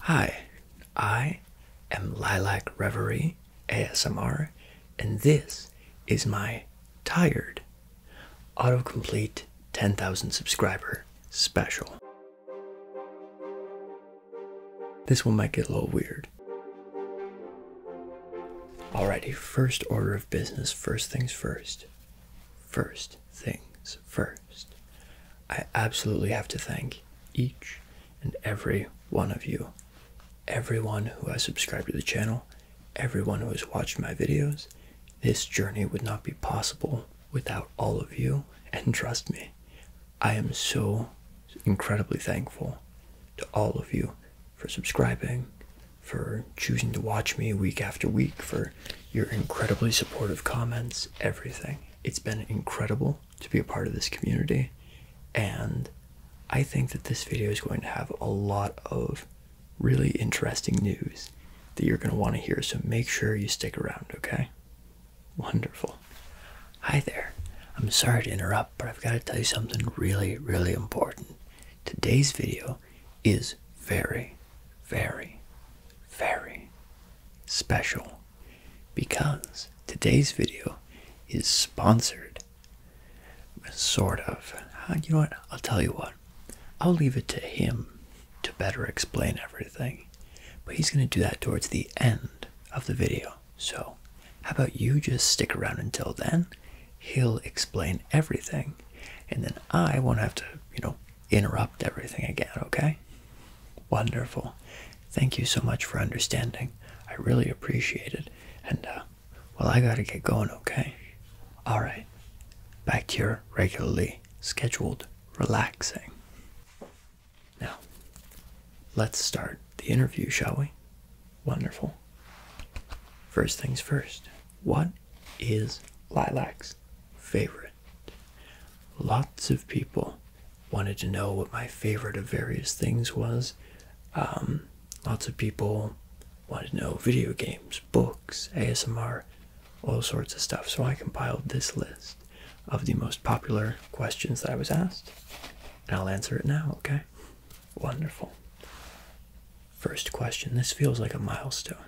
Hi, I am Lilac Reverie ASMR, and this is my tired autocomplete 10,000 subscriber special. This one might get a little weird. Alrighty, first order of business, first things first. First things first. I absolutely have to thank each and every one of you. Everyone who has subscribed to the channel, everyone who has watched my videos. This journey would not be possible without all of you. And trust me, I am so incredibly thankful to all of you for subscribing, for choosing to watch me week after week, for your incredibly supportive comments, everything. It's been incredible to be a part of this community, and I think that this video is going to have a lot of really interesting news that you're going to want to hear, so make sure you stick around, okay? Wonderful. Hi there. I'm sorry to interrupt, but I've got to tell you something really, really important. Today's video is very, very, very special because today's video is sponsored. Sort of. Uh, you know what? I'll tell you what. I'll leave it to him to better explain everything. But he's going to do that towards the end of the video. So, how about you just stick around until then? He'll explain everything. And then I won't have to, you know, interrupt everything again, okay? Wonderful. Thank you so much for understanding. I really appreciate it. And, uh, well, I gotta get going, okay? Alright. Back to your regularly scheduled relaxing. Now, let's start the interview, shall we? Wonderful. First things first. What is Lilac's favorite Lots of people wanted to know what my favorite of various things was. Um, lots of people wanted to know video games, books, ASMR, all sorts of stuff. So I compiled this list of the most popular questions that I was asked, I'll answer it now, okay? Wonderful. First question. This feels like a milestone.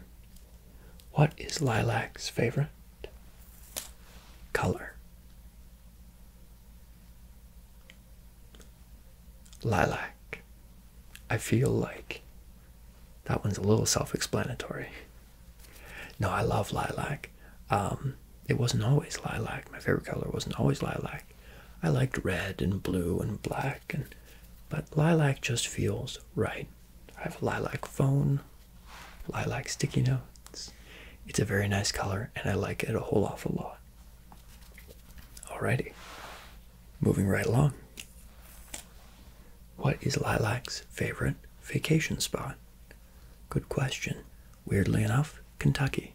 What is Lilac's favorite color. Lilac. I feel like that one's a little self explanatory. No, I love lilac. Um, it wasn't always lilac. My favorite color wasn't always lilac. I liked red and blue and black, and but lilac just feels right. I have a lilac phone, lilac sticky notes. It's a very nice color and I like it a whole awful lot. Alrighty, moving right along. What is Lilac's favorite vacation spot? Good question. Weirdly enough, Kentucky.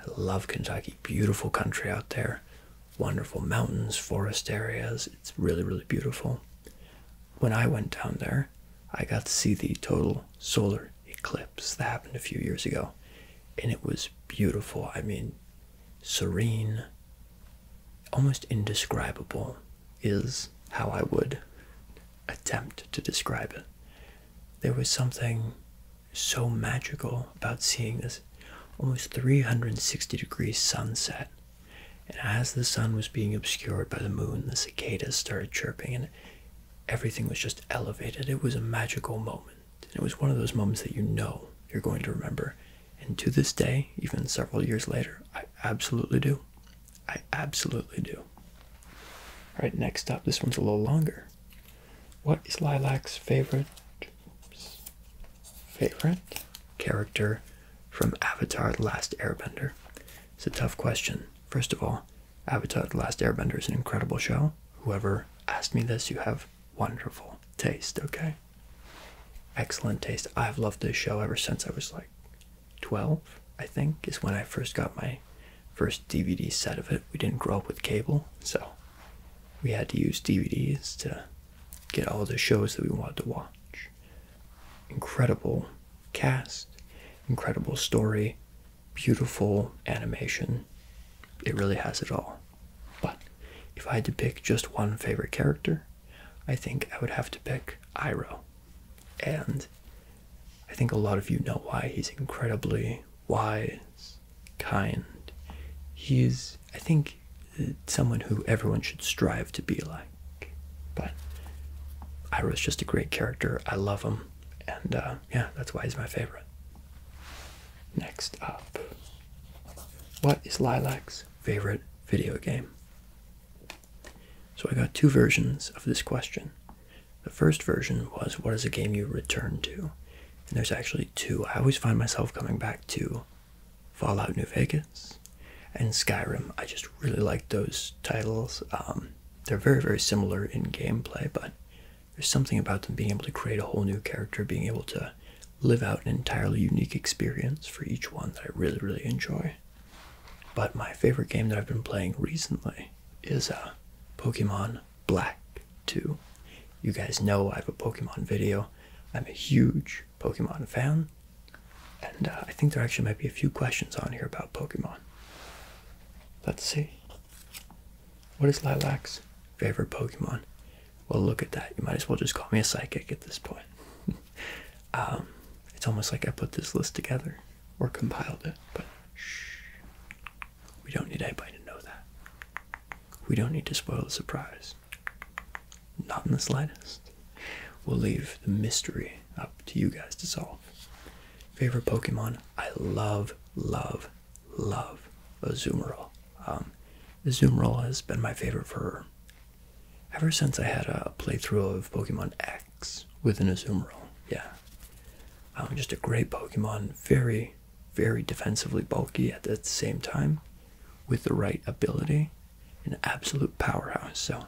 I love Kentucky. Beautiful country out there. Wonderful mountains, forest areas. It's really, really beautiful when I went down there, I got to see the total solar eclipse that happened a few years ago. And it was beautiful. I mean, serene, almost indescribable is how I would attempt to describe it. There was something so magical about seeing this almost 360 degree sunset and as the sun was being obscured by the moon, the cicadas started chirping and everything was just elevated. It was a magical moment. it was one of those moments that you know you're going to remember. And to this day, even several years later, I absolutely do. I absolutely do. All right, next up, this one's a little longer. What is Lilac's favorite favorite character from Avatar The Last Airbender? It's a tough question. First of all, Avatar The Last Airbender is an incredible show. Whoever asked me this, you have wonderful taste, okay? Excellent taste. I've loved this show ever since I was like 12, I think, is when I first got my first DVD set of it. We didn't grow up with cable, so we had to use DVDs to get all the shows that we wanted to watch. Incredible cast, incredible story, beautiful animation. It really has it all. But if I had to pick just one favorite character, I think I would have to pick Iro. And I think a lot of you know why he's incredibly wise, kind. He's, I think, someone who everyone should strive to be like like. But Iroh's just a great character. I love him. And uh, yeah, that's why he's my favorite. Next up, what is Lilac's favorite video game? So I got two versions of this question. The first version was what is a game you return to? And there's actually two. I always find myself coming back to Fallout New Vegas and Skyrim. I just really like those titles. Um, they're very, very similar in gameplay, but there's something about them being able to create a whole new character, being able to live out an entirely unique experience for each one that I really, really enjoy. But my favorite game that I've been playing recently is a uh, Pokemon Black 2. You guys know I have a Pokemon video. I'm a huge Pokemon fan. And uh, I think there actually might be a few questions on here about Pokemon. Let's see. What is Lilac's favorite Pokemon? Well, look at that. You might as well just call me a psychic at this point. Um, it's almost like I put this list together or compiled it, but shh. We don't need anybody to know that. We don't need to spoil the surprise. Not in the slightest. We'll leave the mystery up to you guys to solve. Favorite Pokemon? I love, love, love Azumarill. Um, Azumarill has been my favorite for ever since I had a playthrough of Pokemon X with an Azumarill. Yeah. Um, just a great Pokemon. Very, very defensively bulky at the same time with the right ability. An absolute powerhouse. So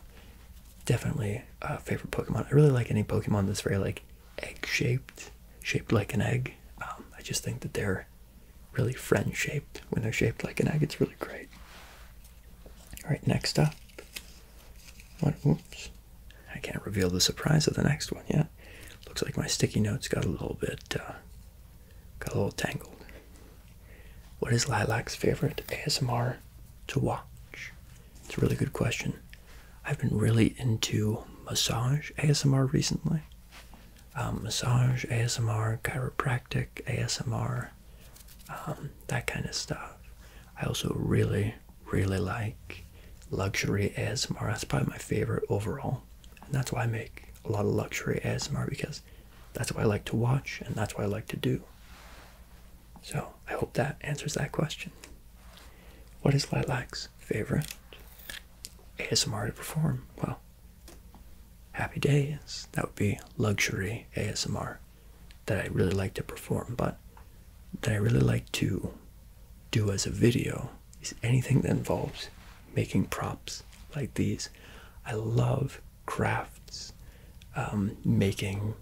definitely a favorite Pokemon. I really like any Pokemon that's very like egg shaped, shaped like an egg. Um, I just think that they're really friend shaped when they're shaped like an egg. It's really great. All right, next up. What? Oops. I can't reveal the surprise of the next one yet. Looks like my sticky notes got a little bit, uh, got a little tangled. What is Lilac's favorite ASMR to watch? It's a really good question. I've been really into massage ASMR recently. Um, massage, ASMR, chiropractic, ASMR, um, that kind of stuff. I also really, really like luxury ASMR. That's probably my favorite overall. And that's why I make a lot of luxury ASMR because that's what I like to watch and that's what I like to do. So I hope that answers that question. What is Lilac's favorite ASMR to perform? Well, happy days. That would be luxury ASMR that I really like to perform, but that I really like to do as a video is anything that involves making props like these. I love crafts, um, making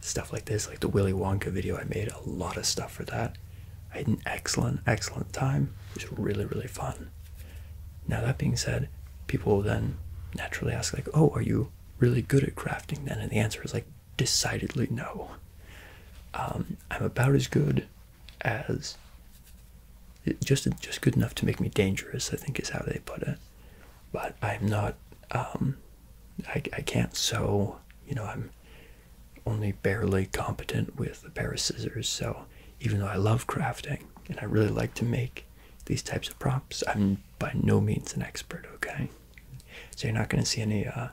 stuff like this, like the Willy Wonka video. I made a lot of stuff for that. I had an excellent, excellent time. It was really, really fun. Now, that being said, people will then naturally ask, like, oh, are you really good at crafting then? And the answer is, like, decidedly no. Um, I'm about as good as just just good enough to make me dangerous, I think is how they put it but I'm not, um, I, I can't sew, you know, I'm only barely competent with a pair of scissors. So even though I love crafting and I really like to make these types of props, I'm by no means an expert, okay? So you're not going to see any uh,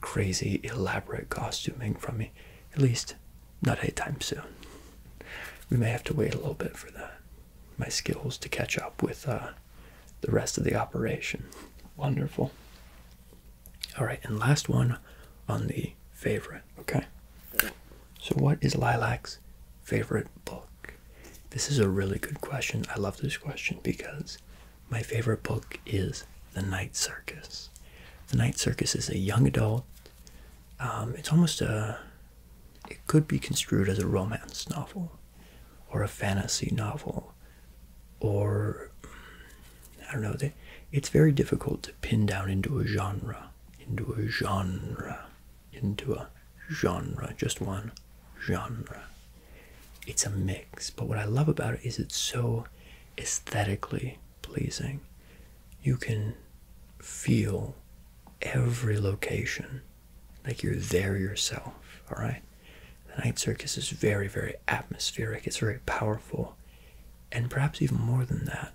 crazy, elaborate costuming from me, at least not anytime soon. We may have to wait a little bit for that my skills to catch up with uh, the rest of the operation. Wonderful. All right, and last one on the favorite. Okay. So, what is Lilac's favorite book? This is a really good question. I love this question because my favorite book is The Night Circus. The Night Circus is a young adult. Um, it's almost a, it could be construed as a romance novel or a fantasy novel or I don't know. it's very difficult to pin down into a genre, into a genre, into a genre, just one genre. It's a mix, but what I love about it is it's so aesthetically pleasing. You can feel every location like you're there yourself, all right? The night circus is very, very atmospheric, it's very powerful, and perhaps even more than that,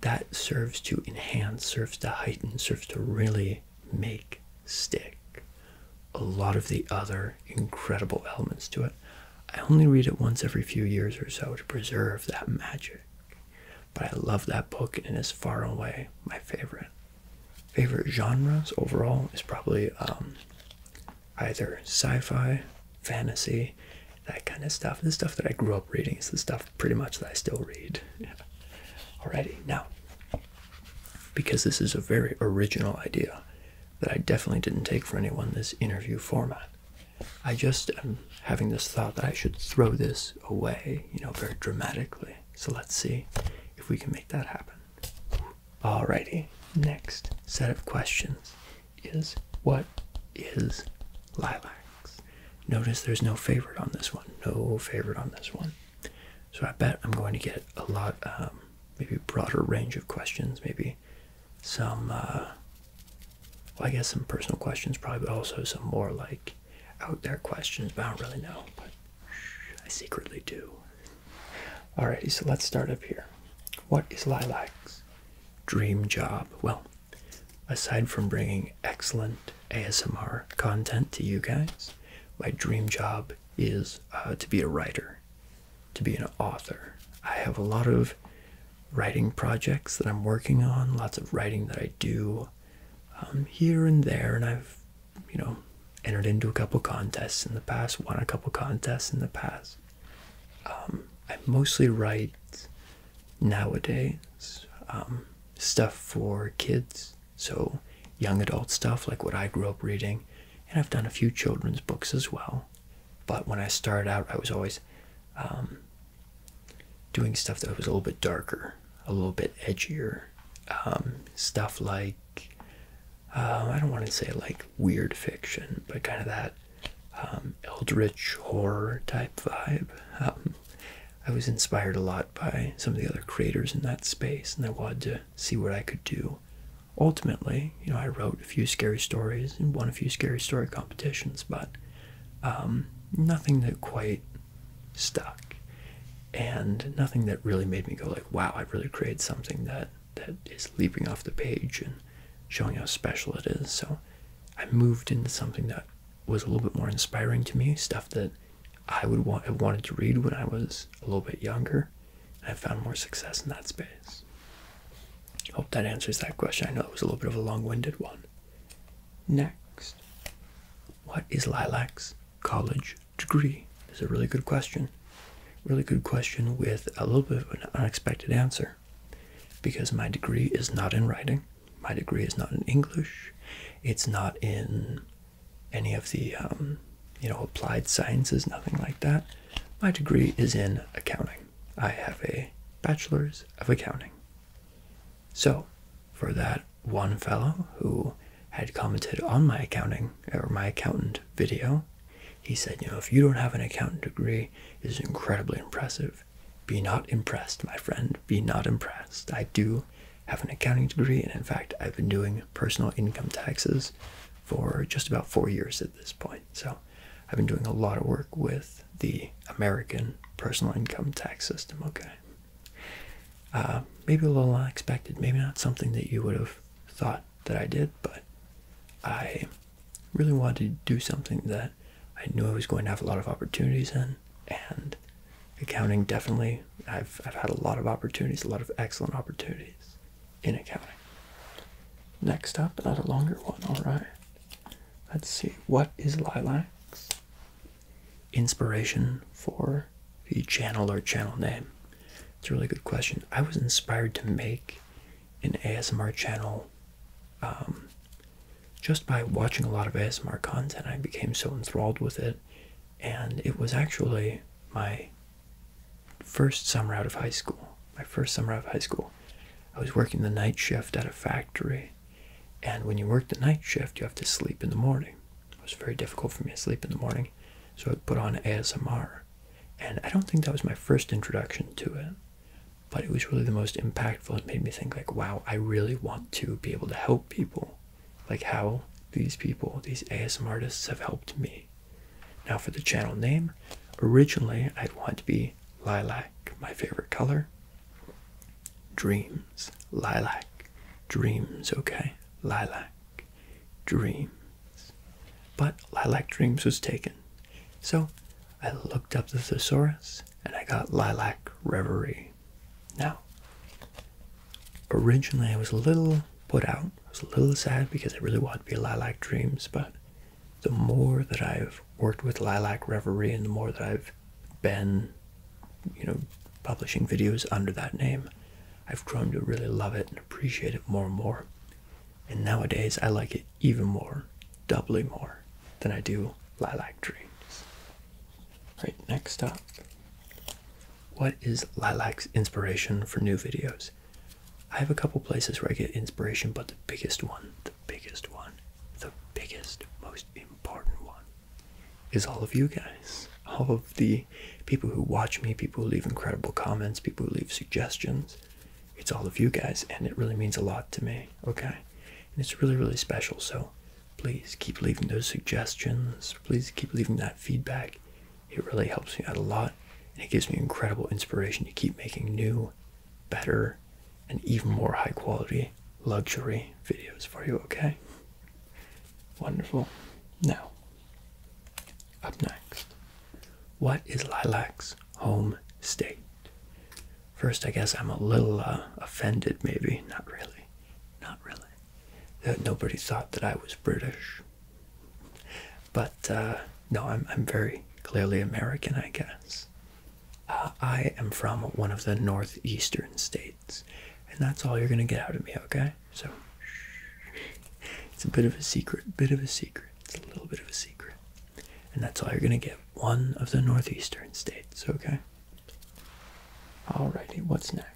that serves to enhance, serves to heighten, serves to really make stick a lot of the other incredible elements to it. I only read it once every few years or so to preserve that magic. But I love that book and it is far away my favorite. Favorite genres overall is probably um, either sci-fi, fantasy, that kind of stuff. The stuff that I grew up reading is the stuff pretty much that I still read. Alrighty, now, because this is a very original idea that I definitely didn't take for anyone, this interview format. I just am having this thought that I should throw this away, you know, very dramatically. So let's see if we can make that happen. Alrighty, next set of questions is what is lilacs? Notice there's no favorite on this one, no favorite on this one. So I bet I'm going to get a lot, um, maybe broader range of questions, maybe some, uh, well, I guess some personal questions probably, but also some more like out there questions, I don't really know. But I secretly do. Alrighty, so let's start up here. What is Lilac's dream job? Well, aside from bringing excellent ASMR content to you guys, my dream job is uh, to be a writer, to be an author. I have a lot of writing projects that I'm working on, lots of writing that I do um, here and there, and I've you know, entered into a couple contests in the past, won a couple contests in the past. Um, I mostly write nowadays um, stuff for kids, so young adult stuff like what I grew up reading, and I've done a few children's books as well. But when I started out, I was always um, doing stuff that was a little bit darker, a little bit edgier, stuff like um, I don't want to say like weird fiction, but kind of that um, eldritch horror type vibe. Um, I was inspired a lot by some of the other creators in that space, and I wanted to see what I could do. Ultimately, you know, I wrote a few scary stories and won a few scary story competitions, but nothing that quite stuck and nothing that really made me go like wow i really created something that that is leaping off the page and showing how special it is so i moved into something that was a little bit more inspiring to me stuff that i would want i wanted to read when i was a little bit younger and i found more success in that space hope that answers that question i know it was a little bit of a long-winded one next what is lilacs college degree? is a really good question. Really good question with a little bit of an unexpected answer. Because my degree is not in writing, my degree is not in English, it's not in any of the um, you know applied sciences, nothing like that. My degree is in accounting. I have a bachelor's of accounting. So for that one fellow who had commented on my accounting or my accountant video. He said, You know, if you don't have an accountant degree, it is incredibly impressive. Be not impressed, my friend. Be not impressed. I do have an accounting degree, and in fact, I've been doing personal income taxes for just about four years at this point. So I've been doing a lot of work with the American personal income tax system, okay? Uh, maybe a little unexpected, maybe not something that you would have thought that I did, but I really wanted to do something that I knew I was going to have a lot of opportunities in, and accounting definitely, I've, I've had a lot of opportunities, a lot of excellent opportunities in accounting. Next up, not a longer one, alright. Let's see, what is lilacs? inspiration for the channel or channel name? It's a really good question. I was inspired to make an ASMR channel um, just by watching a lot of ASMR content. I became so enthralled with it, and it was actually my first summer out of high school. My first summer out of high school, I was working the night shift at a factory. And when you work the night shift, you have to sleep in the morning. It was very difficult for me to sleep in the morning, so I put on ASMR. And I don't think that was my first introduction to it, but it was really the most impactful. It made me think like, wow, I really want to be able to help people. Like how these people, these ASMR artists have helped me. Now for the channel name, originally I'd want to be Lilac, my favorite color. Dreams, lilac, dreams, okay, lilac dreams. But lilac dreams was taken. So I looked up the thesaurus and I got lilac reverie. Now, originally I was a little put out. I was a little sad because I really wanted to be lilac dreams, but the more that I've worked with lilac reverie and the more that I've been, you know, publishing videos under that name. I've grown to really love it and appreciate it more and more. And nowadays, I like it even more, doubly more, than I do Lilac Dreams. Right, next up. What is Lilac's inspiration for new videos? I have a couple places where I get inspiration, but the biggest one, the biggest one, the biggest, most important one is all of you guys, all of the people who watch me, people who leave incredible comments, people who leave suggestions. It's all of you guys, and it really means a lot to me, okay? And it's really, really special. So please keep leaving those suggestions. Please keep leaving that feedback. It really helps me out a lot, and it gives me incredible inspiration to keep making new, better, and even more high quality luxury videos for you, okay? Wonderful. Now, up next, what is Lilac's home state? First, I guess I'm a little uh, offended, maybe. Not really. Not really. That nobody thought that I was British. But uh, no, I'm, very clearly American, I guess. Uh, I am from one of the northeastern states. And that's all you're going to get out of me, okay? So, it's a bit of a secret, bit of a secret. It's a little bit of a secret. And that's all you're going to get. One of the northeastern states, okay? Alrighty, what's next?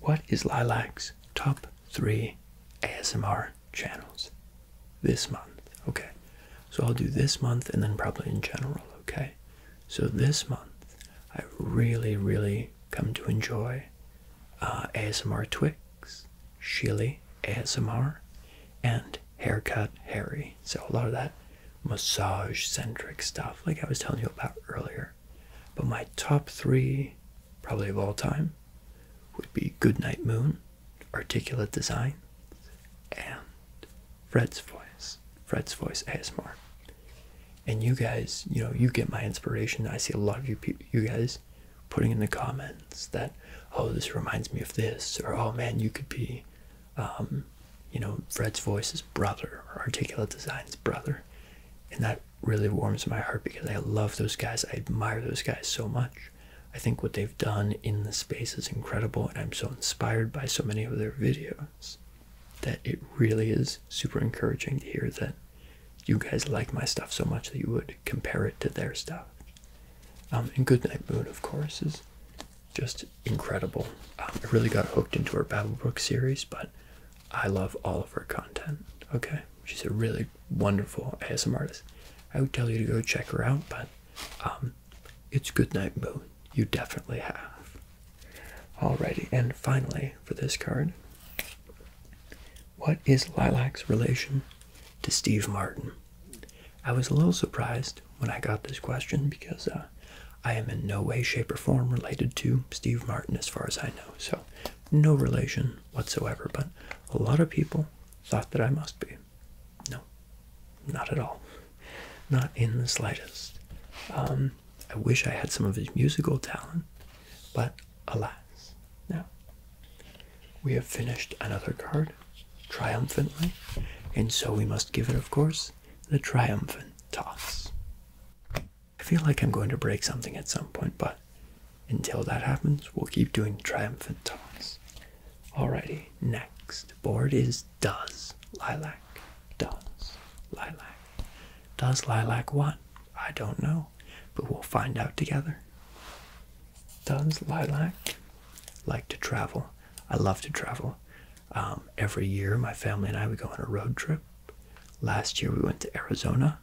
What is Lilac's top three ASMR channels this month? Okay, so I'll do this month and then probably in general, okay? So this month, I really, really come to enjoy uh, ASMR Twix, Shilly ASMR, and Haircut Harry. So a lot of that massage-centric stuff, like I was telling you about earlier. But my top three, probably of all time, would be Goodnight Moon, Articulate Design, and Fred's Voice. Fred's Voice ASMR. And you guys, you know, you get my inspiration. I see a lot of you, you guys, putting in the comments that, oh, this reminds me of this, or oh man, you could be, um, you know, Fred's Voice's brother or Articulate Design's brother, and that really warms my heart because I love those guys. I admire those guys so much. I think what they've done in the space is incredible, and I'm so inspired by so many of their videos that it really is super encouraging to hear that you guys like my stuff so much that you would compare it to their stuff. Um, and Goodnight Moon, of course, is just incredible. Um, I really got hooked into her Book series, but I love all of her content. Okay, she's a really wonderful ASMR artist. I would tell you to go check her out, but um, it's Goodnight Moon you definitely have. Alrighty, and finally for this card, what is Lilac's relation to Steve Martin? I was a little surprised when I got this question because uh, I am in no way, shape, or form related to Steve Martin as far as I know. So, no relation whatsoever, but a lot of people thought that I must be. No, not at all. Not in the slightest. Um, I wish I had some of his musical talent, but alas. Now, we have finished another card triumphantly, and so we must give it, of course, the triumphant toss. I feel like I'm going to break something at some point, but until that happens, we'll keep doing triumphant tosses. Alrighty, next board is Does Lilac. Does Lilac. Does lilac what? I don't know, but we'll find out together. Does lilac like to travel? I love to travel. Um, every year, my family and I would go on a road trip. Last year, we went to Arizona.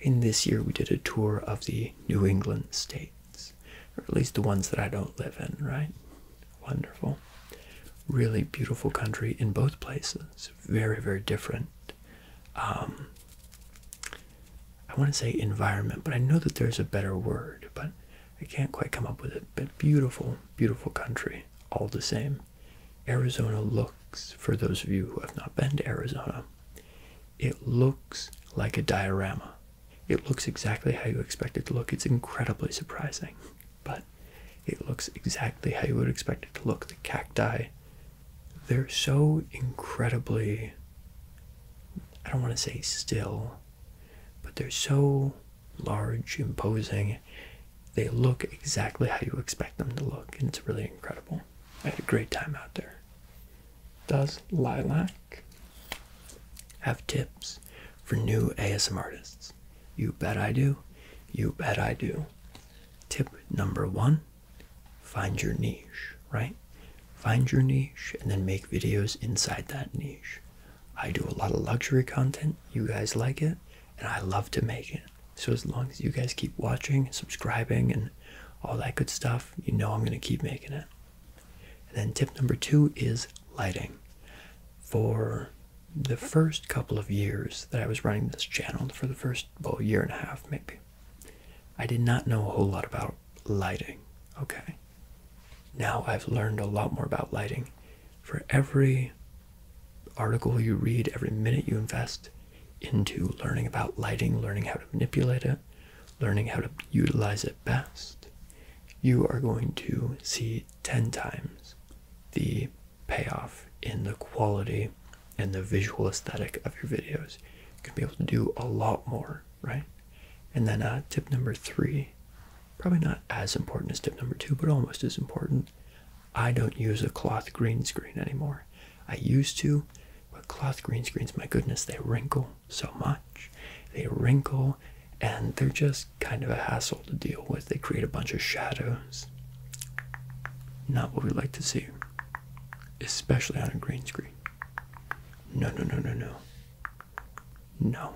In this year, we did a tour of the New England states, or at least the ones that I don't live in, right? Wonderful. Really beautiful country in both places very, very different. Um, I want to say environment, but I know that there's a better word, but I can't quite come up with it. But beautiful, beautiful country, all the same. Arizona looks, for those of you who have not been to Arizona, it looks like a diorama. It looks exactly how you expect it to look. It's incredibly surprising but it looks exactly how you would expect it to look. The cacti, they're so incredibly, I don't want to say still, but they're so large, imposing. They look exactly how you expect them to look, and it's really incredible. I had a great time out there. Does Lilac have tips for new ASM artists? You bet I do. You bet I do. Tip number one find your niche, right? Find your niche and then make videos inside that niche. I do a lot of luxury content. You guys like it, and I love to make it. So, as long as you guys keep watching, and subscribing, and all that good stuff, you know I'm going to keep making it. And then, tip number two is lighting. For the first couple of years that I was running this channel, for the first well, year and a half maybe, I did not know a whole lot about lighting. Okay. Now I've learned a lot more about lighting. For every article you read, every minute you invest into learning about lighting, learning how to manipulate it, learning how to utilize it best, you are going to see 10 times the payoff in the quality and the visual aesthetic of your videos. You can be able to do a lot more, right? And then uh, tip number three, probably not as important as tip number two, but almost as important. I don't use a cloth green screen anymore. I used to, but cloth green screens, my goodness, they wrinkle so much. They wrinkle and they're just kind of a hassle to deal with. They create a bunch of shadows. Not what we like to see, especially on a green screen. No, no, no, no, no. No.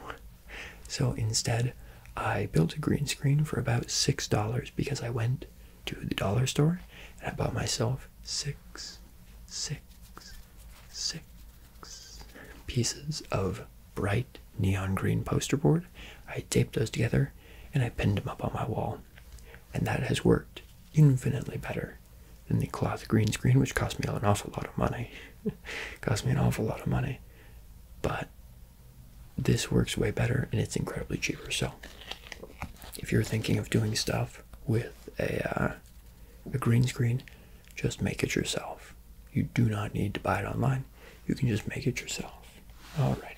So instead, I built a green screen for about $6 because I went to the dollar store and I bought myself six, six, six pieces of bright neon green poster board. I taped those together and I pinned them up on my wall. And that has worked infinitely better than the cloth green screen, which cost me an awful lot of money. cost me an awful lot of money. But this works way better and it's incredibly cheaper. So if you're thinking of doing stuff with a, uh, a green screen, just make it yourself. You do not need to buy it online. You can just make it yourself. Alrighty.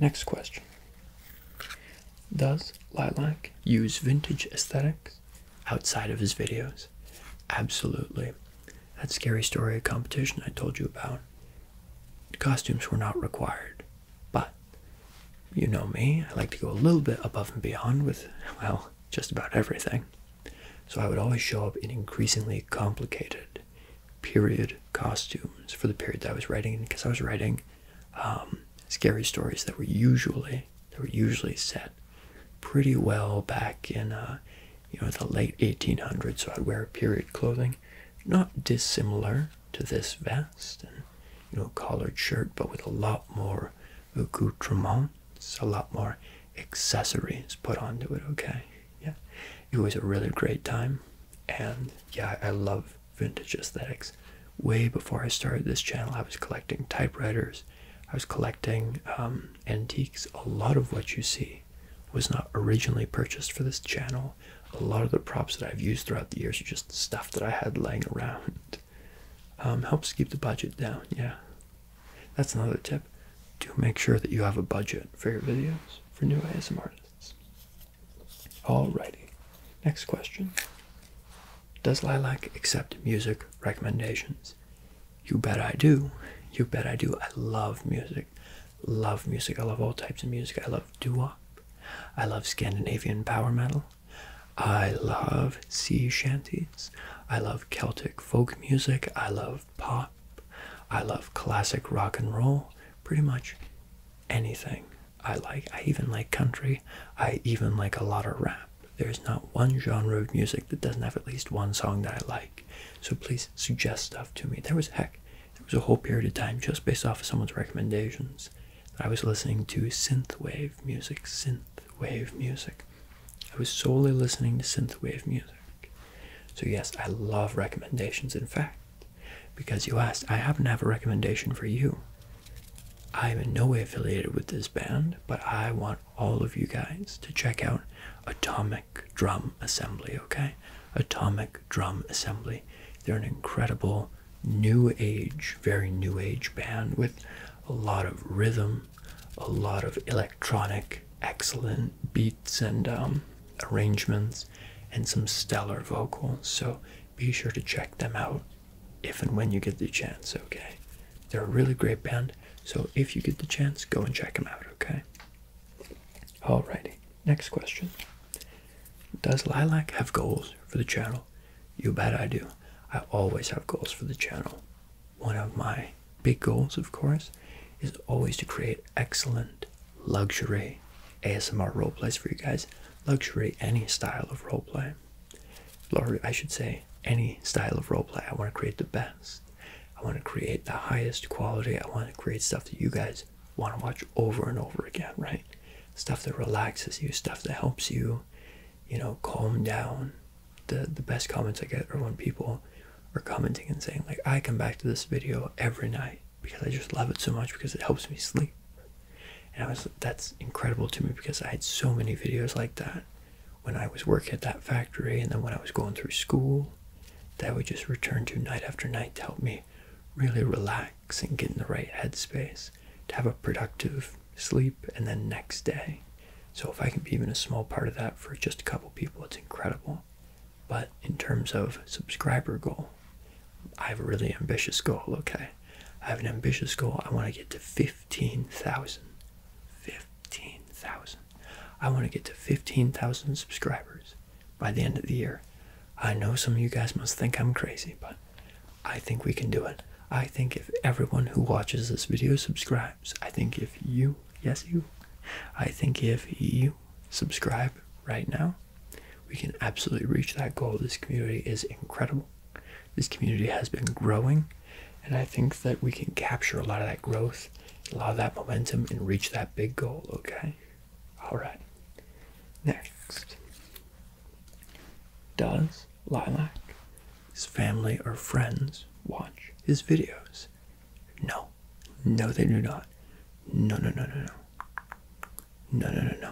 Next question. Does Lilac use vintage aesthetics outside of his videos? Absolutely. That scary story competition I told you about. Costumes were not required. But you know me, I like to go a little bit above and beyond with, well, just about everything. So I would always show up in increasingly complicated period costumes for the period that I was writing because I was writing um, scary stories that were usually that were usually set pretty well back in uh, you know the late 1800s so I'd wear period clothing not dissimilar to this vest and you know collared shirt but with a lot more accoutrements a lot more accessories put onto it okay yeah it was a really great time and yeah i love vintage aesthetics way before i started this channel i was collecting typewriters i was collecting um, antiques a lot of what you see was not originally purchased for this channel a lot of the props that i've used throughout the years are just stuff that i had laying around um, helps keep the budget down yeah that's another tip do make sure that you have a budget for your videos for new asmr exists. Alrighty, next question. Does Lilac accept music recommendations? You bet I do. You bet I do. I love music. Love music. I love all types of music. I love doo I love Scandinavian power metal. I love sea shanties. I love Celtic folk music. I love pop. I love classic rock and roll, pretty much anything. I like I even like country. I even like a lot of rap. There's not one genre of music that doesn't have at least one song that I like. So please suggest stuff to me. There was heck, there was a whole period of time just based off of someone's recommendations that I was listening to synthwave music, synthwave music. I was solely listening to synthwave music. So, yes, I love recommendations. In fact, because you asked, I happen to have a recommendation for you. I'm in no way affiliated with this band, but I want all of you guys to check out Atomic Drum Assembly, okay? Atomic Drum Assembly. They're an incredible new age, very new age band with a lot of rhythm, a lot of electronic, excellent beats and um, arrangements and some stellar vocals. So be sure to check them out if and when you get the chance, okay? They're a really great band. So if you get the chance, go and check them out, okay? Alrighty, next question. Does Lilac have goals for the channel? You bet I do. I always have goals for the channel. One of my big goals, of course, is always to create excellent luxury ASMR roleplays for you guys. Luxury, any style of roleplay. Or I should say, any style of roleplay. I want to create the best. I want to create the highest quality. I want to create stuff that you guys want to watch over and over again, right? Stuff that relaxes you, stuff that helps you, you know, calm down. The, the best comments I get are when people are commenting and saying, like, I come back to this video every night because I just love it so much because it helps me sleep. And I was that's incredible to me because I had so many videos like that when I was working at that factory and then when I was going through school that would just return to night after night to help me really relax and get in the right headspace to have a productive sleep and then next day. So if I can be even a small part of that for just a couple people, it's incredible. But in terms of subscriber goal, I have a really ambitious goal, okay? I have an ambitious goal. I want to get to 15,000. 15,000. I want to get to 15,000 subscribers by the end of the year. I know some of you guys must think I'm crazy, but I think we can do it. I think if everyone who watches this video subscribes, I think if you, yes, you, I think if you subscribe right now, we can absolutely reach that goal. This community is incredible. This community has been growing, and I think that we can capture a lot of that growth, a lot of that momentum, and reach that big goal, okay? All right. Next. Does Lilac, his family, or friends watch his videos? No. No, they do not. No, no, no, no, no. No, no, no,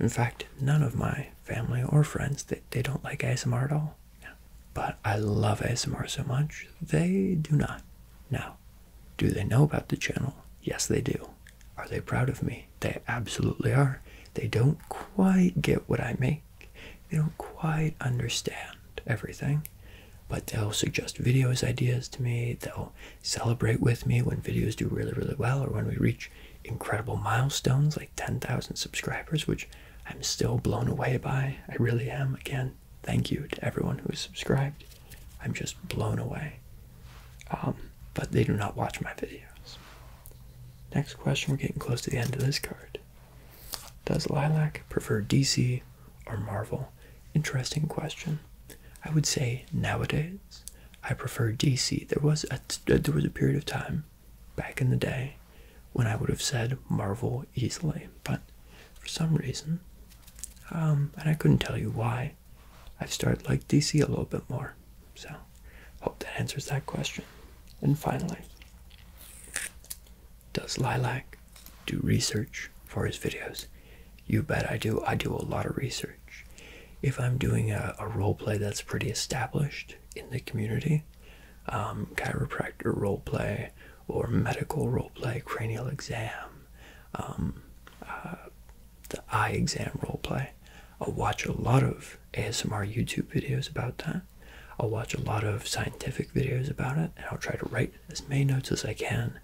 In fact, none of my family or friends, they, they don't like ASMR at all. But I love ASMR so much, they do not. Now, do they know about the channel? Yes, they do. Are they proud of me? They absolutely are. They don't quite get what I make. They don't quite understand everything but they'll suggest videos ideas to me. They'll celebrate with me when videos do really, really well or when we reach incredible milestones like 10,000 subscribers, which I'm still blown away by. I really am. Again, thank you to everyone who has subscribed. I'm just blown away. Um, but they do not watch my videos. Next question, we're getting close to the end of this card. Does Lilac prefer DC or Marvel? Interesting question. I would say nowadays I prefer DC. There was a uh, there was a period of time back in the day when I would have said Marvel easily, but for some reason, um, and I couldn't tell you why, I've started like DC a little bit more. So, hope that answers that question. And finally, does Lilac do research for his videos? You bet I do. I do a lot of research. If I'm doing a, role play that's pretty established in the community, um, chiropractor role play or medical role play, cranial exam, um, uh, the eye exam role play, I'll watch a lot of ASMR YouTube videos about that. I'll watch a lot of scientific videos about it, and I'll try to write as many notes as I can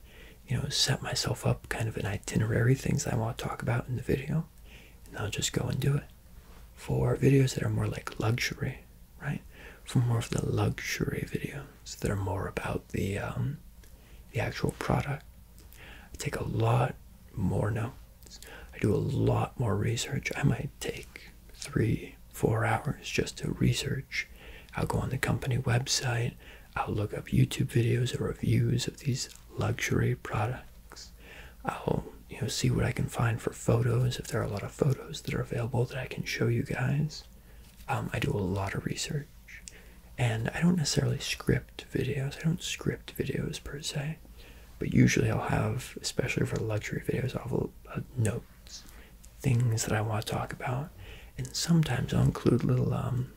you know, set myself up kind of an itinerary, things I want to talk about in the video, and I'll just go and do it. For videos that are more like luxury, right? For more of the luxury videos that are more about the um, the actual product, I take a lot more notes. I do a lot more research. I might take three, four hours just to research. I'll go on the company website. I'll look up YouTube videos or reviews of these luxury products. I'll you know see what I can find for photos if there are a lot of photos that are available that I can show you guys. Um, I do a lot of research, and I don't necessarily script videos. I don't script videos per se, but usually I'll have, especially for luxury videos, I'll have notes things that I want to talk about, and sometimes I'll include little um,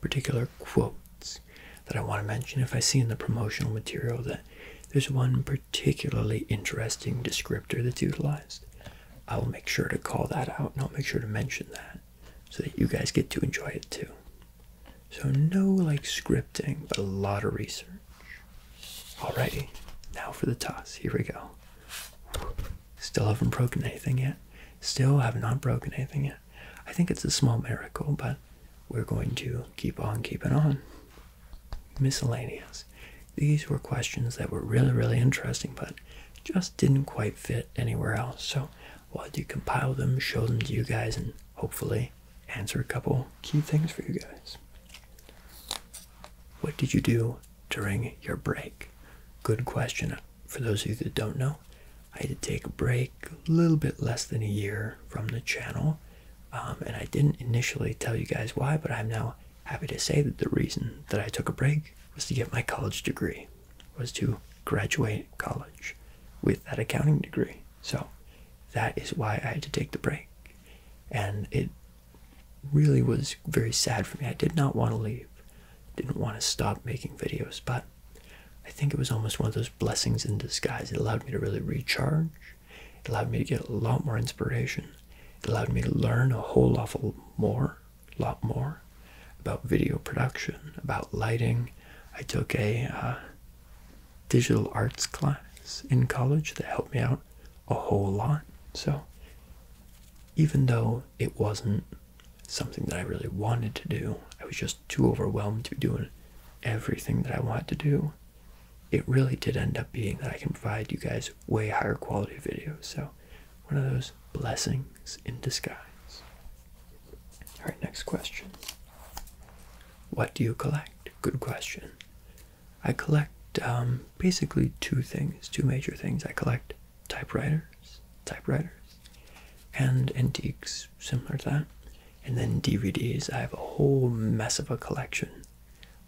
particular quotes that I want to mention if I see in the promotional material that there's one particularly interesting descriptor that's utilized. I will make sure to call that out and I'll make sure to mention that so that you guys get to enjoy it too. So no like scripting, but a lot of research. All righty, now for the toss. Here we go. Still haven't broken anything yet. Still have not broken anything yet. I think it's a small miracle, but we're going to keep on keeping on. Miscellaneous. These were questions that were really, really interesting, but just didn't quite fit anywhere else. So I wanted to compile them, show them to you guys, and hopefully answer a couple key things for you guys. What did you do during your break? Good question. For those of you that don't know, I had to take a break a little bit less than a year from the channel. Um, and I didn't initially tell you guys why, but I'm now happy to say that the reason that I took a break was to get my college degree, was to graduate college with that accounting degree. So that is why I had to take the break. And it really was very sad for me. I did not want to leave, didn't want to stop making videos, but I think it was almost one of those blessings in disguise. It allowed me to really recharge, it allowed me to get a lot more inspiration, it allowed me to learn a whole awful more, lot more about video production, about lighting. I took a uh, digital arts class in college that helped me out a whole lot. So, even though it wasn't something that I really wanted to do. I was just too overwhelmed to be doing everything that I wanted to do. It really did end up being that I can provide you guys way higher quality videos. So, one of those blessings in disguise. All right, next question. What do you collect? Good question. I collect um, basically two things, two major things. I collect typewriters, typewriters, and antiques similar to that. And then DVDs. I have a whole mess of a collection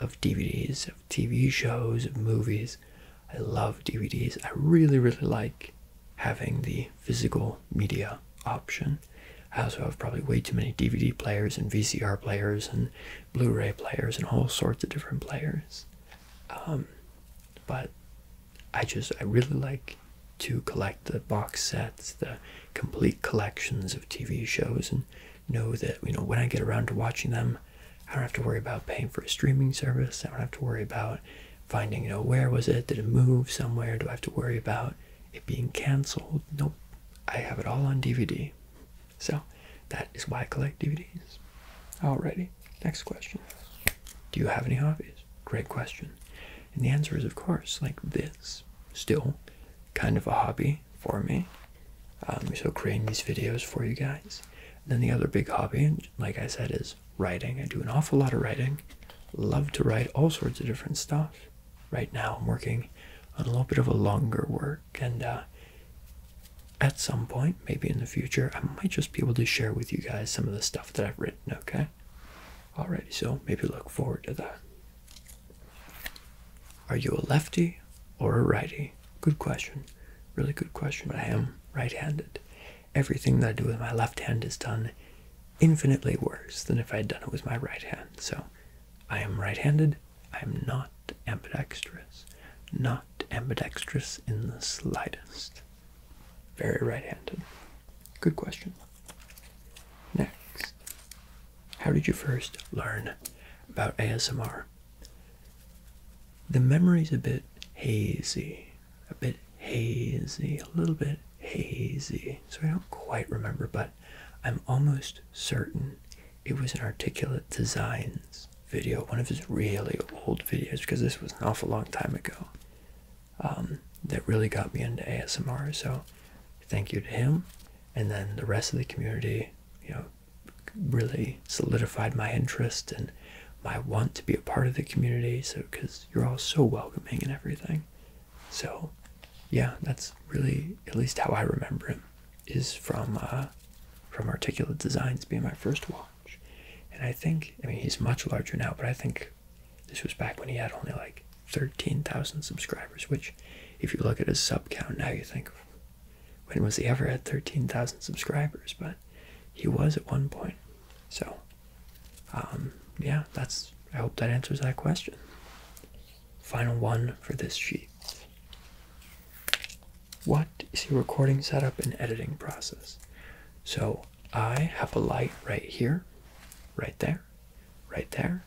of DVDs, of TV shows, of movies. I love DVDs. I really, really like having the physical media option. I also have probably way too many DVD players and VCR players and Blu-ray players and all sorts of different players. Um, but I just I really like to collect the box sets, the complete collections of TV shows, and know that you know when I get around to watching them, I don't have to worry about paying for a streaming service. I don't have to worry about finding you know where was it? Did it move somewhere? Do I have to worry about it being canceled? Nope, I have it all on DVD. So that is why I collect DVDs. Alrighty, next question. Do you have any hobbies? Great question. And the answer is, of course, like this. Still kind of a hobby for me. Um, so creating these videos for you guys. then the other big hobby, like I said, is writing. I do an awful lot of writing. Love to write all sorts of different stuff. Right now, I'm working on a little bit of a longer work, and uh, at some point, maybe in the future, I might just be able to share with you guys some of the stuff that I've written, okay? Alrighty, so maybe look forward to that. Are you a lefty or a righty? Good question. Really good question. I am right handed. Everything that I do with my left hand is done infinitely worse than if I had done it with my right hand. So I am right handed. I am not ambidextrous. Not ambidextrous in the slightest. Very right handed. Good question. Next. How did you first learn about ASMR? The memory's a bit hazy. A bit hazy. A little bit hazy. So I don't quite remember, but I'm almost certain it was in articulate designs video, one of his really old videos, because this was an awful long time ago, um, that really got me into ASMR. So thank you to him. And then the rest of the community, you know, really solidified my interest and my want to be a part of the community. So, because you're all so welcoming and everything. So, yeah, that's really at least how I remember him is from uh, from Articulate Designs being my first walk. And I think, I mean, he's much larger now, but I think this was back when he had only like 13,000 subscribers, which, if you look at his sub count now, you think, when was he ever at 13,000 subscribers? But he was at one point. So, um, yeah, that's, I hope that answers that question. Final one for this sheet what is your recording setup and editing process? So I have a light right here, right there, right there,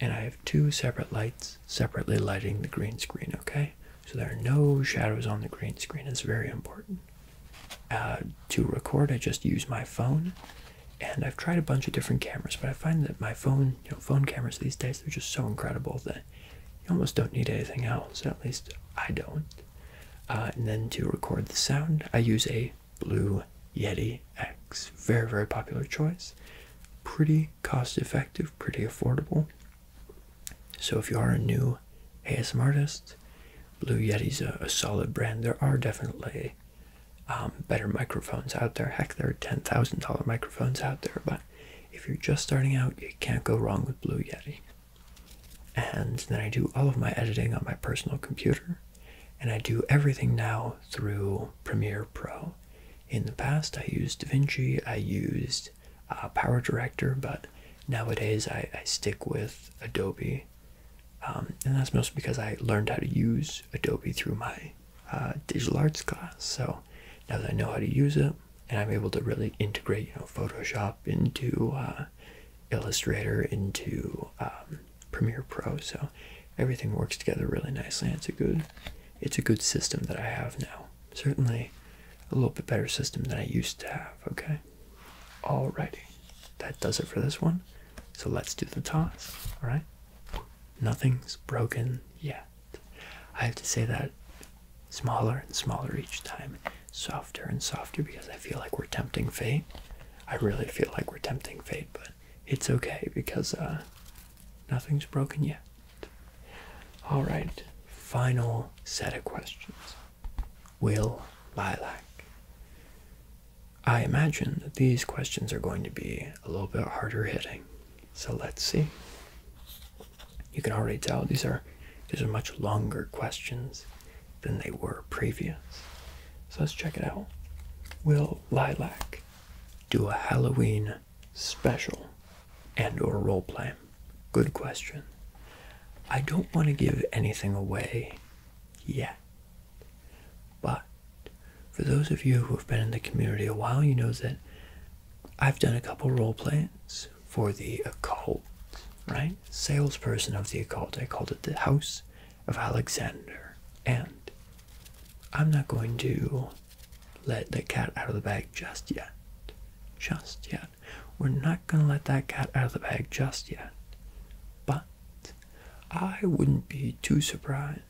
and I have two separate lights separately lighting the green screen, okay? So there are no shadows on the green screen. It's very important. Uh, to record, I just use my phone, and I've tried a bunch of different cameras, but I find that my phone, you know, phone cameras these days, are just so incredible that you almost don't need anything else, at least I don't. Uh, and then to record the sound, I use a Blue Yeti X. Very, very popular choice. Pretty cost effective, pretty affordable. So if you are a new ASM artist, Blue Yeti's a, a solid brand. There are definitely um, better microphones out there. Heck, there are $10,000 microphones out there, but if you're just starting out, you can't go wrong with Blue Yeti. And then I do all of my editing on my personal computer. And I do everything now through Premiere Pro. In the past, I used DaVinci, I used uh, Power Director, but nowadays I, stick with Adobe. Um, and that's mostly because I learned how to use Adobe through my uh, digital arts class. So now that I know how to use it, and I'm able to really integrate, you know, Photoshop into uh, Illustrator, into um, Premiere Pro. So everything works together really nicely. it's a good, it's a good system that I have now. Certainly, a little bit better system than I used to have. Okay. Alrighty, that does it for this one. So let's do the toss. All right. Nothing's broken yet. I have to say that smaller and smaller each time, softer and softer because I feel like we're tempting fate. I really feel like we're tempting fate, but it's okay because uh, nothing's broken yet. All right, final set of questions. Will Lilac? I imagine that these questions are going to be a little bit harder hitting. So let's see. You can already tell these are these are much longer questions than they were previous. So let's check it out. Will Lilac do a Halloween special and or role play? Good question. I don't want to give anything away yet. But for those of you who have been in the community a while, you know that I've done a couple role plays for the occult, right? Salesperson of the occult. I called it the House of Alexander. And I'm not going to let the cat out of the bag just yet. Just yet. We're not going to let that cat out of the bag just yet. But I wouldn't be too surprised.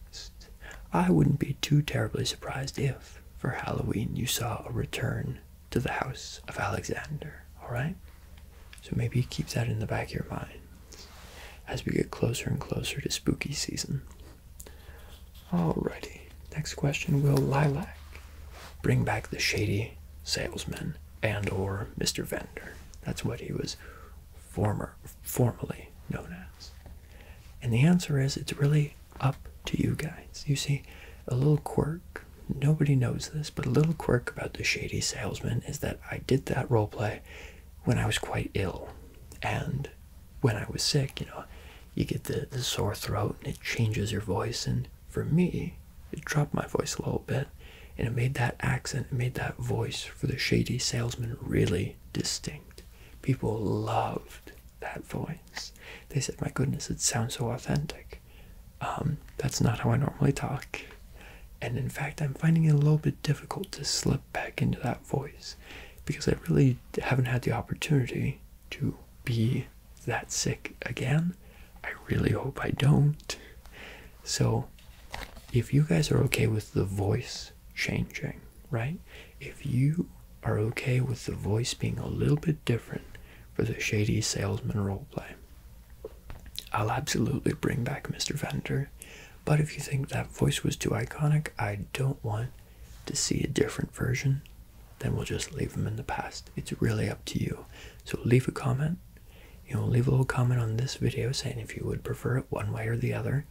I wouldn't be too terribly surprised if, for Halloween, you saw a return to the house of Alexander. Alright? So maybe keep that in the back of your mind as we get closer and closer to spooky season. Alrighty. Next question Will Lilac bring back the shady salesman and or Mr. Vendor? That's what he was former formerly known as. And the answer is it's really up to you guys. You see, a little quirk, nobody knows this, but a little quirk about the shady salesman is that I did that role play when I was quite ill. And when I was sick, you know, you get the, the sore throat and it changes your voice. And for me, it dropped my voice a little bit and it made that accent, it made that voice for the shady salesman really distinct. People loved that voice. They said, My goodness, it sounds so authentic. Um, that's not how I normally talk. And in fact, I'm finding it a little bit difficult to slip back into that voice because I really haven't had the opportunity to be that sick again. I really hope I don't. So, if you guys are okay with the voice changing, right? If you are okay with the voice being a little bit different for the shady salesman roleplay. I'll absolutely bring back Mr. Vender, but if you think that voice was too iconic, I don't want to see a different version, then we'll just leave them in the past. It's really up to you. So leave a comment. You know, leave a little comment on this video saying if you would prefer it one way or the other,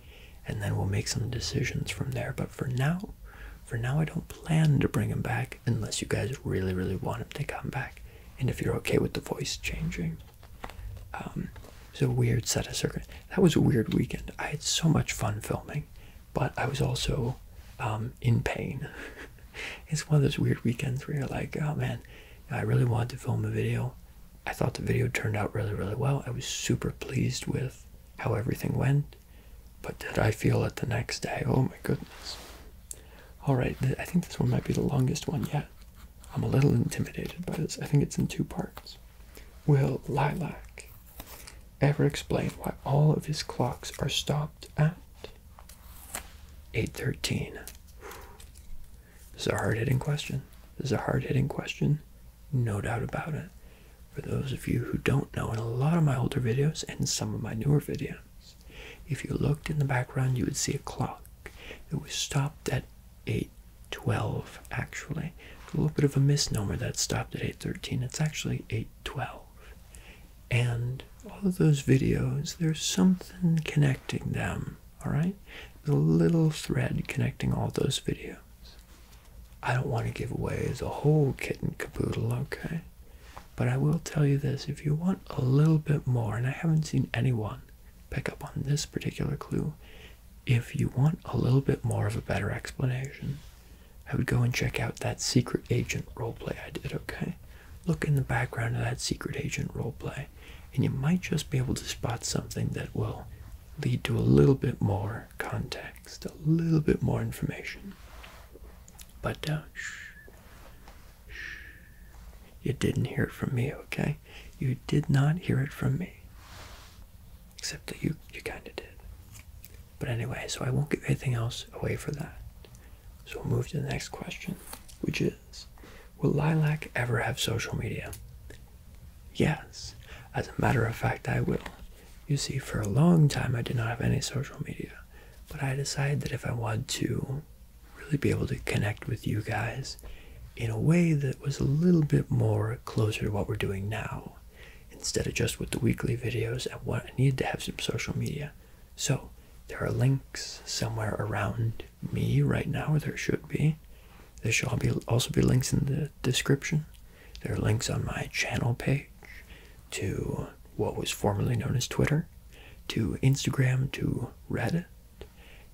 and then we'll make some decisions from there. But for now, for now, I don't plan to bring him back unless you guys really, really want him to come back, and if you're okay with the voice changing. Um, it was a weird set of circumstances. That was a weird weekend. I had so much fun filming, but I was also um, in pain. it's one of those weird weekends where you're like, oh man, I really wanted to film a video. I thought the video turned out really, really well. I was super pleased with how everything went. But did I feel it the next day? Oh my goodness. Alright, I think this one might be the longest one yet. I'm a little intimidated by this. I think it's in two parts. Will Lilac ever explain why all of his clocks are stopped at 8.13? This is a hard-hitting question. This is a hard-hitting question. No doubt about it. For those of you who don't know, in a lot of my older videos and some of my newer videos, if you looked in the background, you would see a clock. It was stopped at 8.12, actually. a little bit of a misnomer that stopped at 8.13. It's actually 8.12. And all of those videos, there's something connecting them, all right? There's a little thread connecting all those videos. I don't want to give away the whole kitten and okay? But I will tell you this if you want a little bit more, and I haven't seen anyone pick up on this particular clue, if you want a little bit more of a better explanation, I would go and check out that secret agent role play I did, okay? Look in the background of that secret agent role play, and you might just be able to spot something that will lead to a little bit more context, a little bit more information. But uh, shh. you didn't hear it from me, okay? You did not hear it from me. Except that you, you kind of did. But anyway, so I won't give anything else away for that. So we'll move to the next question, which is Will Lilac ever have social media? Yes. As a matter of fact, I will. You see, for a long time, I did not have any social media. But I decided that if I want to really be able to connect with you guys in a way that was a little bit more closer to what we're doing now, instead of just with the weekly videos I needed to have some social media. So there are links somewhere around me right now, or there should be. There shall be also be links in the description. There are links on my channel page to what was formerly known as Twitter, to Instagram, to Reddit,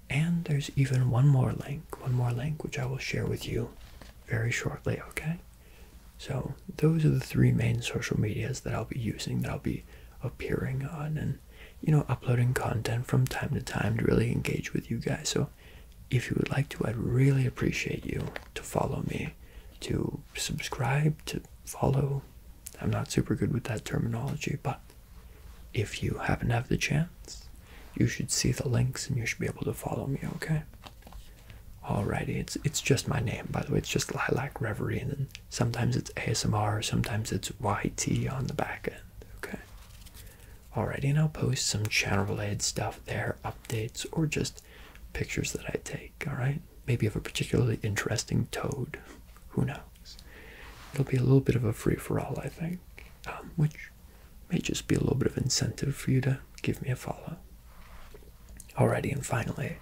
and there's even one more link, one more link which I will share with you very shortly, okay? So, those are the three main social medias that I'll be using, that I'll be appearing on, and you know, uploading content from time to time to really engage with you guys. So, if you would like to, I'd really appreciate you to follow me, to subscribe, to follow. I'm not super good with that terminology, but if you happen to have the chance, you should see the links and you should be able to follow me, okay? Alrighty, it's it's just my name, by the way. It's just Lilac Reverie, and sometimes it's ASMR, sometimes it's YT on the back end, okay? Alrighty, and I'll post some channel related stuff there, updates, or just pictures that I take, alright? Maybe of a particularly interesting toad. Who knows? It'll be a little bit of a free for all, I think, um, which may just be a little bit of incentive for you to give me a follow. Alrighty, and finally,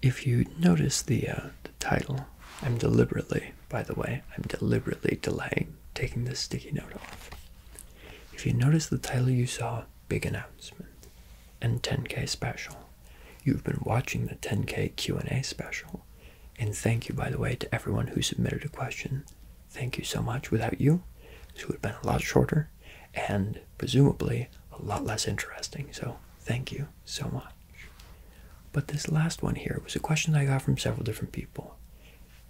if you notice the, uh, the title, I'm deliberately, by the way, I'm deliberately delaying taking this sticky note off. If you notice the title you saw big announcement and 10k special. You've been watching the 10k Q&A special. And thank you by the way to everyone who submitted a question. Thank you so much. Without you, this would have been a lot shorter and presumably a lot less interesting. So, thank you so much. But this last one here was a question I got from several different people.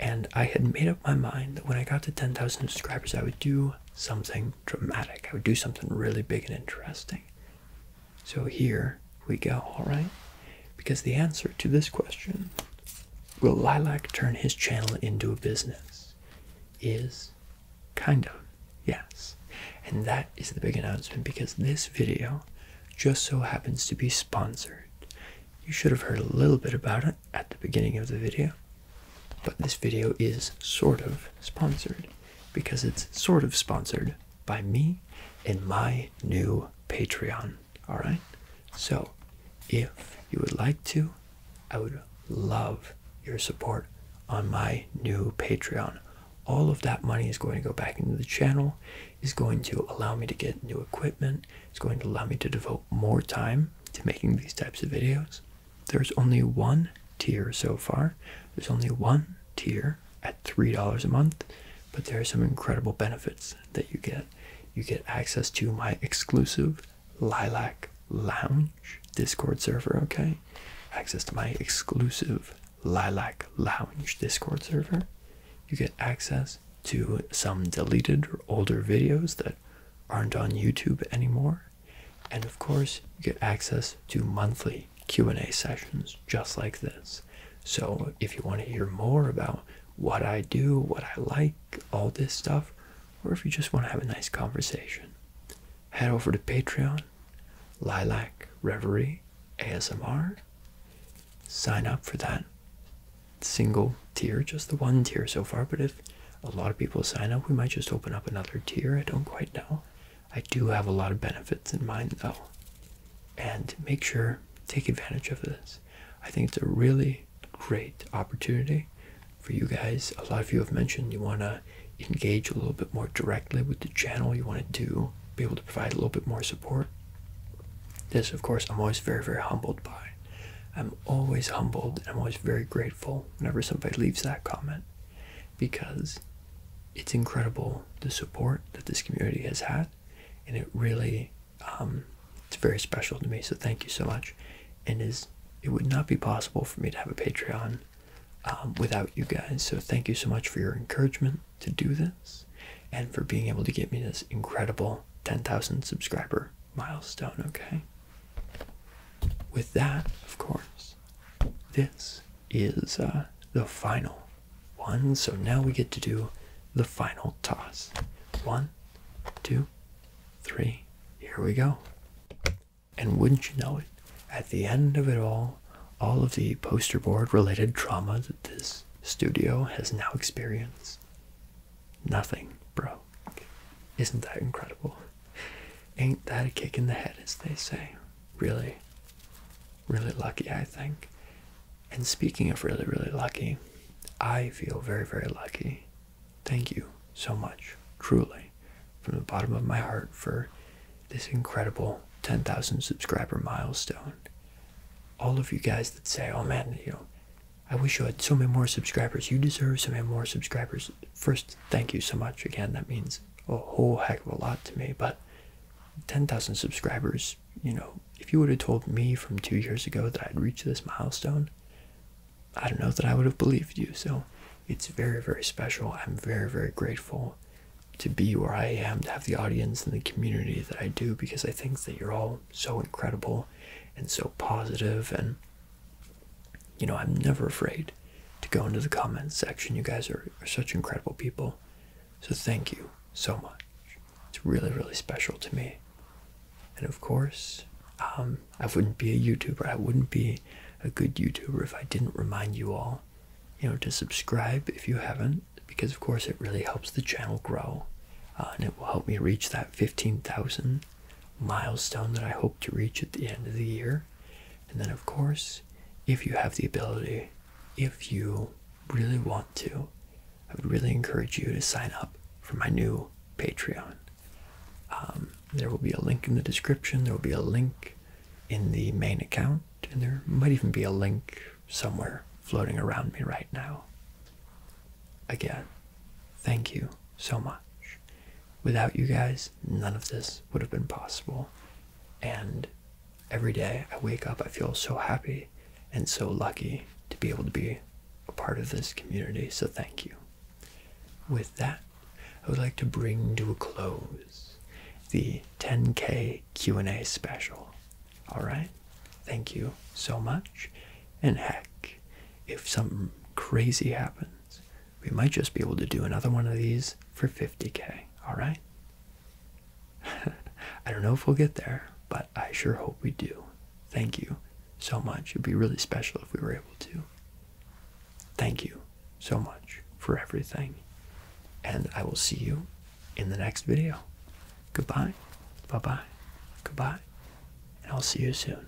And I had made up my mind that when I got to 10,000 subscribers, I would do something dramatic. I would do something really big and interesting. So here we go, alright? Because the answer to this question, will Lilac turn his channel into a business? Is kind of yes. And that is the big announcement because this video just so happens to be sponsored. You should have heard a little bit about it at the beginning of the video. But this video is sort of sponsored because it's sort of sponsored by me and my new Patreon. Alright? So, if you would like to, I would love your support on my new Patreon. All of that money is going to go back into the channel, is going to allow me to get new equipment, it's going to allow me to devote more time to making these types of videos. There's only one tier so far. There's only one tier at $3 a month, but there are some incredible benefits that you get. You get access to my exclusive Lilac Lounge Discord server, okay? Access to my exclusive Lilac Lounge Discord server. You get access to some deleted or older videos that aren't on YouTube anymore and of course you get access to monthly q&a sessions just like this so if you want to hear more about what i do what i like all this stuff or if you just want to have a nice conversation head over to patreon lilac reverie asmr sign up for that single tier just the one tier so far but if a lot of people sign up. We might just open up another tier. I don't quite know. I do have a lot of benefits in mind though. And make sure, take advantage of this. I think it's a really great opportunity for you guys. A lot of you have mentioned you want to engage a little bit more directly with the channel. You want to do be able to provide a little bit more support. This, of course, I'm always very, very humbled by. I'm always humbled I'm always very grateful whenever somebody leaves that comment because it's incredible the support that this community has had and it really um, it's very special to me so thank you so much and is it would not be possible for me to have a patreon um, without you guys so thank you so much for your encouragement to do this and for being able to get me this incredible 10,000 subscriber milestone okay with that of course this is uh, the final one. So now we get to do the final toss. One, two, three. Here we go. And wouldn't you know it, at the end of it all, all of the poster board related trauma that this studio has now experienced, nothing broke. Isn't that incredible? Ain't that a kick in the head, as they say? Really, really lucky, I think. And speaking of really, really lucky, I feel very, very lucky. Thank you so much, truly, from the bottom of my heart for this incredible 10,000 subscriber milestone. All of you guys that say, oh man, you know, I wish you had so many more subscribers. You deserve so many more subscribers first, thank you so much again. That means a whole heck of a lot to me. But 10,000 subscribers, you know, if you would have told me from two years ago that I'd reach this milestone, I don't know that I would have believed you. So it's very, very special. I'm very, very grateful to be where I am, to have the audience and the community that I do because I think that you're all so incredible and so positive and you know, I'm never afraid to go into the comments section. You guys are, such incredible people. So thank you so much. It's really, really special to me. And of course, um, I wouldn't be a YouTuber. I wouldn't be a good YouTuber if I didn't remind you all, you know, to subscribe if you haven't, because of course it really helps the channel grow, uh, and it will help me reach that 15,000 milestone that I hope to reach at the end of the year. And then, of course, if you have the ability, if you really want to, I would really encourage you to sign up for my new Patreon. Um, there will be a link in the description, there will be a link in the main account, and there might even be a link somewhere floating around me right now. Again, thank you so much. Without you guys, none of this would have been possible. And every day I wake up, I feel so happy and so lucky to be able to be a part of this community. So thank you. With that, I would like to bring to a close the 10K Q&A special. All right? Thank you so much. And heck, if something crazy happens, we might just be able to do another one of these for 50k, all right? I don't know if we'll get there, but I sure hope we do. Thank you so much. It'd be really special if we were able to. Thank you so much for everything. And I will see you in the next video. Goodbye. Bye bye. Goodbye. And I'll see you soon.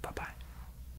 Bye bye.